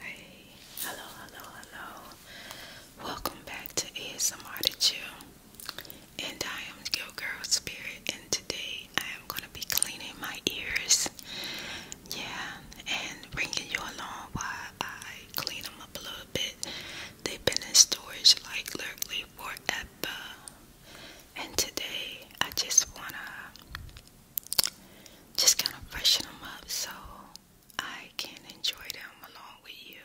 Hey, hello, hello, hello. Welcome back to ASMR to Chill. And I am your girl Spirit, and today I am going to be cleaning my ears. Yeah, and bringing you along while I clean them up a little bit. They've been in storage like literally forever and today I just wanna just kind of freshen them up so I can enjoy them along with you.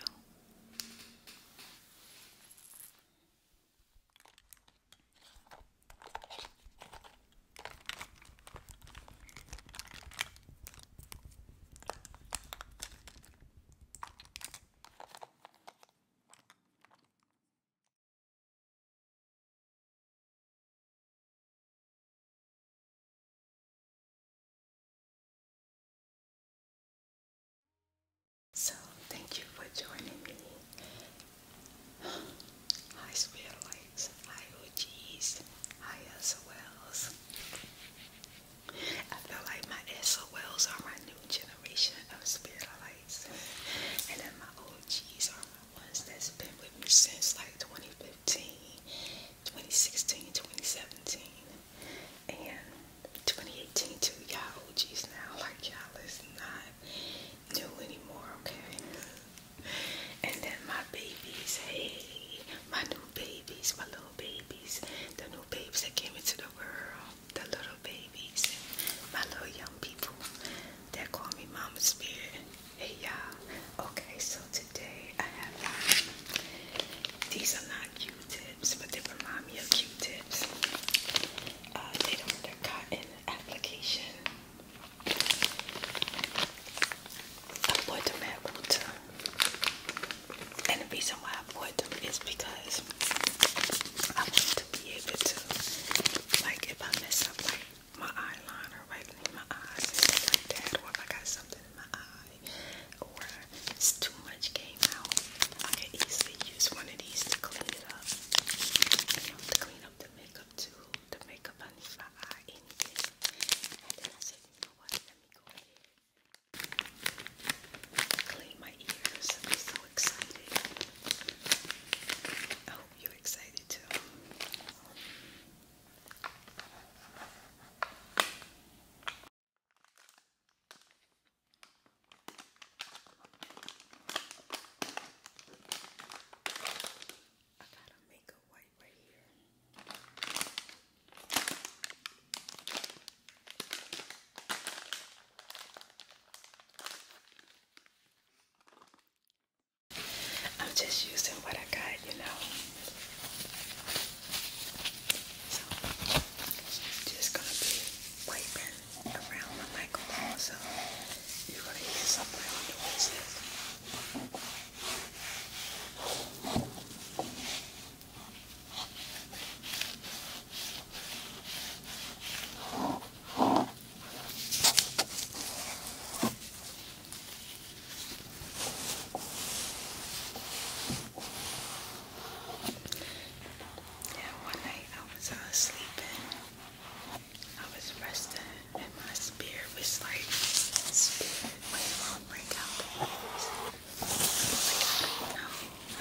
So, thank you for joining me. Hi, spirit lights. Hi, OGs. Hi, as well. I feel like my SOLs are my new generation of spiritualites, and then my old OGs are my ones that's been with me since like 2015, 2016, 2017, and 2018 too. Y'all OGs now, like y'all is not new anymore, okay? And then my babies, hey, my new babies, my little babies the new babies that came into the world, the little babies, my little young people that call me Mama Spirit. Hey y'all. Okay, so today I have um, these are not Q-tips, but they remind me of Q-tips. Uh, they don't they're cotton application. I bought and the reason why I bought them is because I want to be able to, like, if I mess up, like, my eyeliner right in my eyes like that, or if I got something in my eye, or it's too much came out, I can easily use one of these to clean it up. You know, to clean up the makeup too, the makeup underneath my eye, And then I said, you know what? Let me go ahead Clean my ears. I'm so excited. I hope oh, you're excited too. I gotta make a white right here. I'm just using what I got, you know. So just gonna be wiping around my microphone, so you're gonna hear something on the yeah, one night I was uh, sleeping. I was resting, and my spirit was like, "Spirit, wait, will break out." I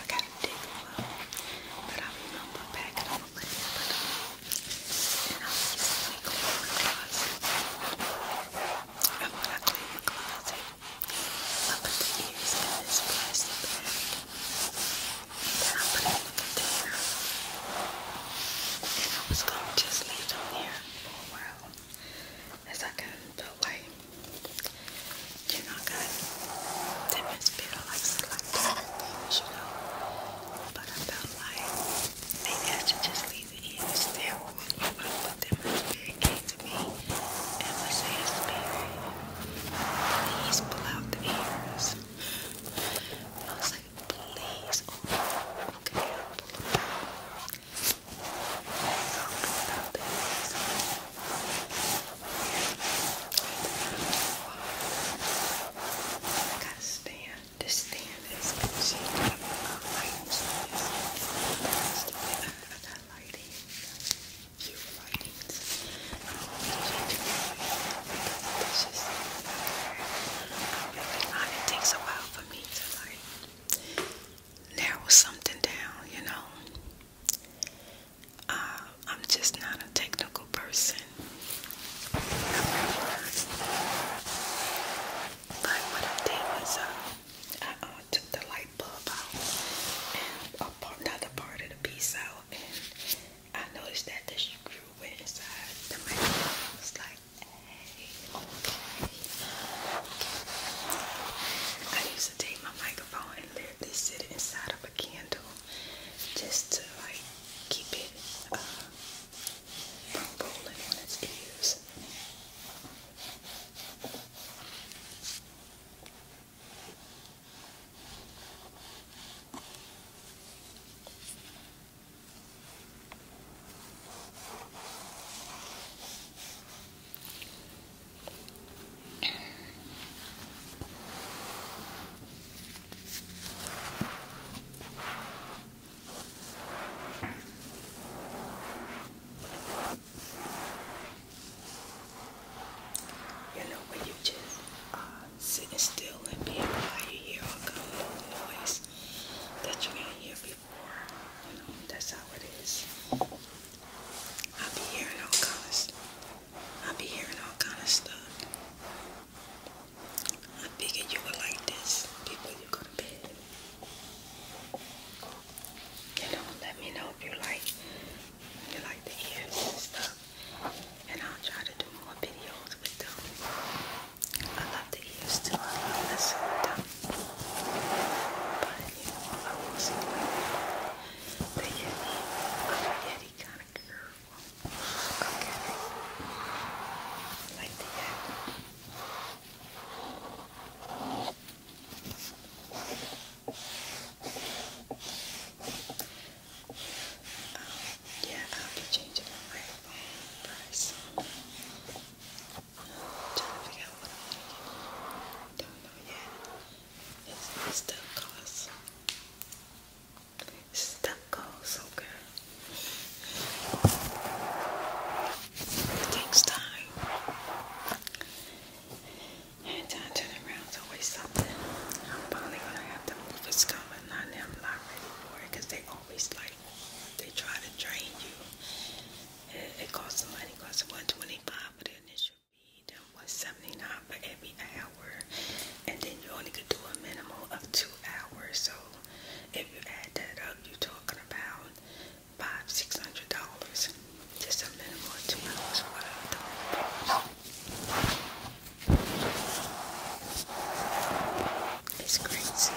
gotta dig a little, but I remember back in the lid, but um, and I used to clean my closet. And when I clean my closet, I put the ears in this plastic bag, and then I put it in a container, and I was gonna just leave them there for a while as I got that way you're not gonna dip and like you know. But I felt like maybe I should just leave it in instead with put them in came to me and was saying spirit. Please pull out the ears. I was like, please, okay, oh pull out the ears. I got a stand. This stand is concealed. I got lights. I got lighting. Cute lightings. I It's just I It takes a while for me to like narrow something down, you know. Uh, I'm just not a technical person. Like what I was uh, I uh, took the light bulb out and a part, another part of the piece out, and I noticed that the screw went inside the magnet. I was like, hey, okay. I used to take my microphone and they sit inside of a candle just to like keep it uh, from rolling on its ears. You know when you just uh, sitting still and being quiet, you hear all kind of noise that you ain't hear before. You know that's how it is. I will be hearing all kind I'll I be hearing all kind of stuff. I figured you were like this before you go to bed. You know, let me know if you like you like to hear this stuff. And I'll try to do more videos with them. I love the ears too. I love listening to them. But you know, I won't the Yeti. I'm a kind of girl. Okay. Like the Yeti. Um, yeah, I'll be changing my phone price. trying to figure out what I am to Don't know yet. It's stucco's. Stucco's, okay. It takes time. And time turn around is always something. I'm probably gonna have to move it's coming. I am not ready for it they always like they try to drain you. It, costs money, it costs 125 for the initial medium was 79 for every hour, and then you only could do a minimum of two hours. So if you add that up, you're talking about five, six hundred dollars. Just a minimum two hours for It's crazy.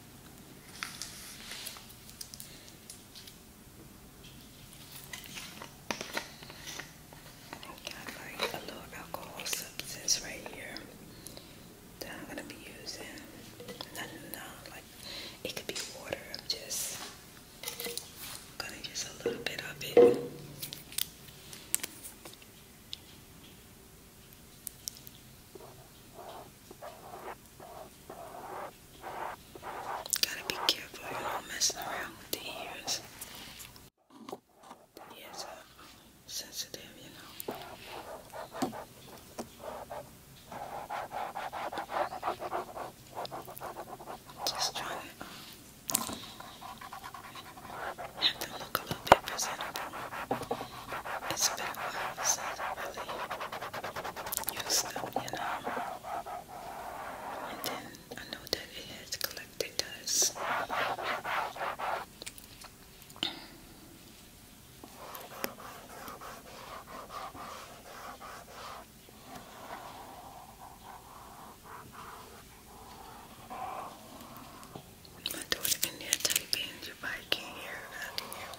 Got like a little alcohol substance right here that I'm gonna be using. No, no, no, like it could be water. I'm just gonna use a little bit of it. Gotta be careful you're not messing around with the ears. The ears are sensitive, you know. Just trying to um, have them look a little bit presentable it's been a while since I really you know. And then um, I know that it has collected dust. My daughter in there typing, you probably can't hear it out here.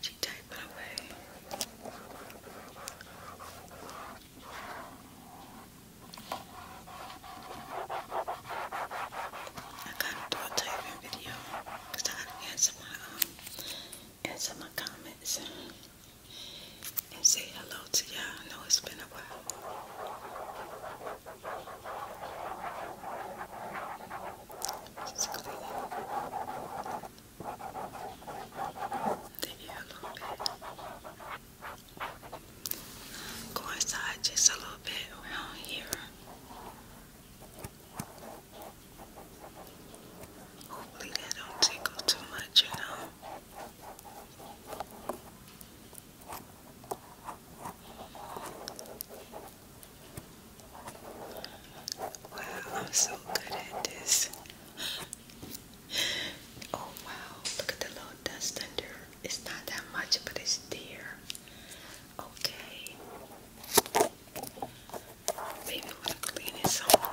She typed away. I gotta do typing video I gotta answer my um answer my comments and say hello to y'all. I know it's been a while. Go inside just a little bit around here. Hopefully that don't tickle too much, you know. Wow, I'm so good at this. Oh wow, look at the little dust under. It's not that much, but it's there. Okay. Maybe want to clean it some more.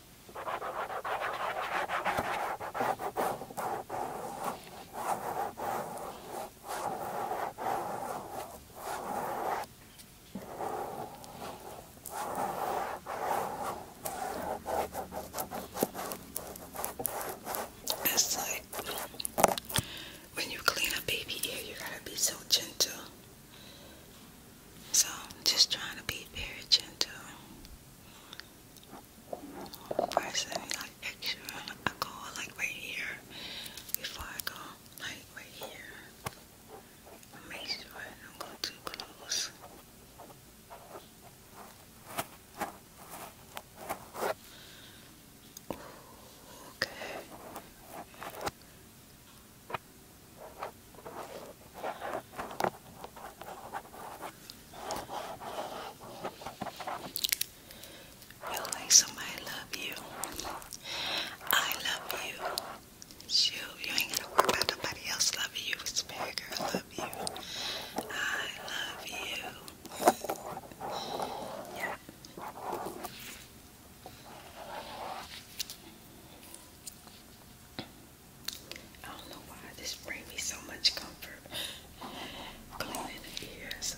It's like when you clean a baby ear, you gotta be so gentle so just trying to be very gentle. First, let me like extra. I go like right here before I go like right here. Make sure I don't go too close. okay. You'll somebody love you. I love you. Shoot, you ain't gotta worry about nobody else loving you. Spirit girl, love you. I love you. Yeah. I don't know why this brings me so much comfort. Cleaning the ears.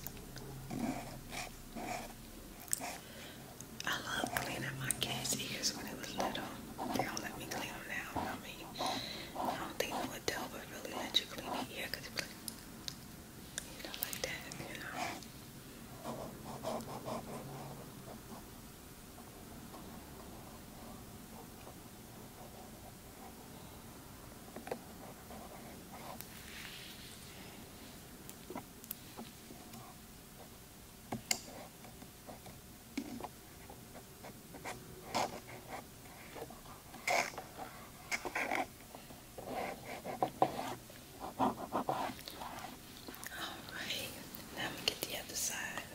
I love cleaning my cat's ears when it was little. They don't let me clean them now. I mean, I don't think no adult would really let you clean the ear because it's like, you like that, you know. All right, now I'm gonna get the other side.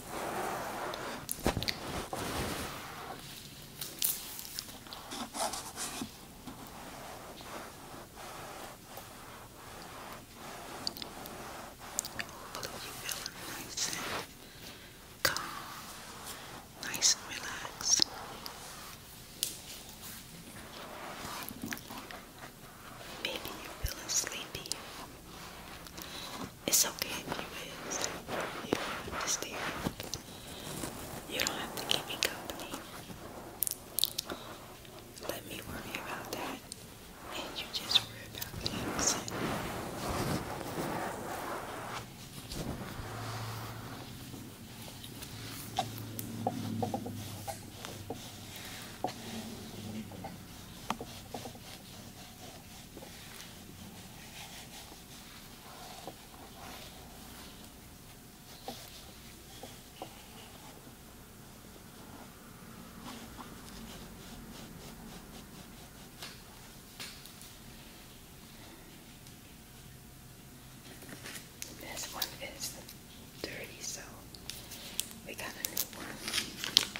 Hopefully you're feeling nice and calm, nice and relaxed. Maybe you're feeling sleepy. It's okay You do You don't have to keep me company. Let me worry about that. And you just worry about me. This one is dirty, so we got a new one.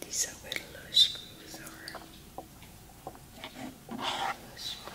These are where the little screws are. Little screw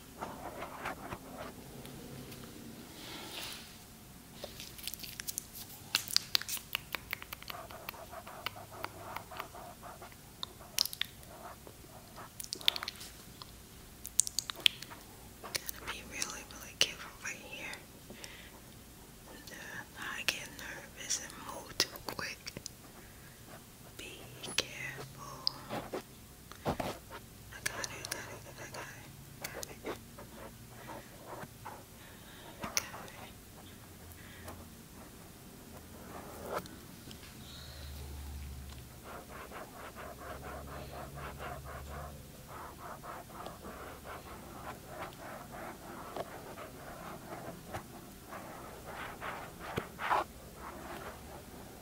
Gotta be really, really careful right here. Uh, I get nervous and move too quick. Be careful. I got it, I got it, I got it. Perfect. Got it. Okay.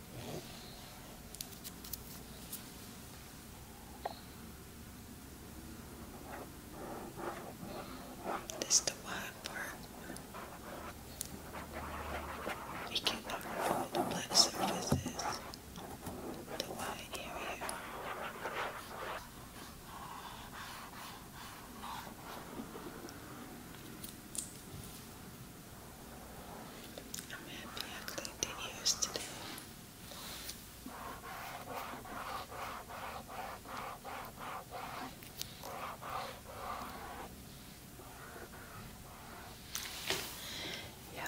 This is the wild part. We cannot remove the black surfaces, the white area. I'm happy I cleaned the ears today. Yeah.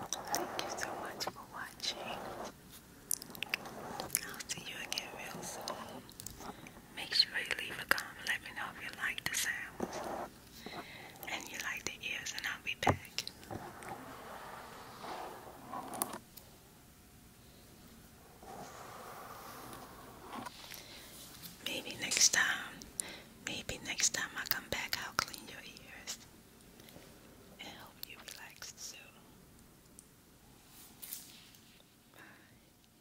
Thank you so much for watching. I'll see you again soon. Make sure you leave a comment. Let me know if you like the sounds and you like the ears, and I'll be back. Maybe next time, maybe next time I come back, I'll clean your ears and hope you relax soon. Bye.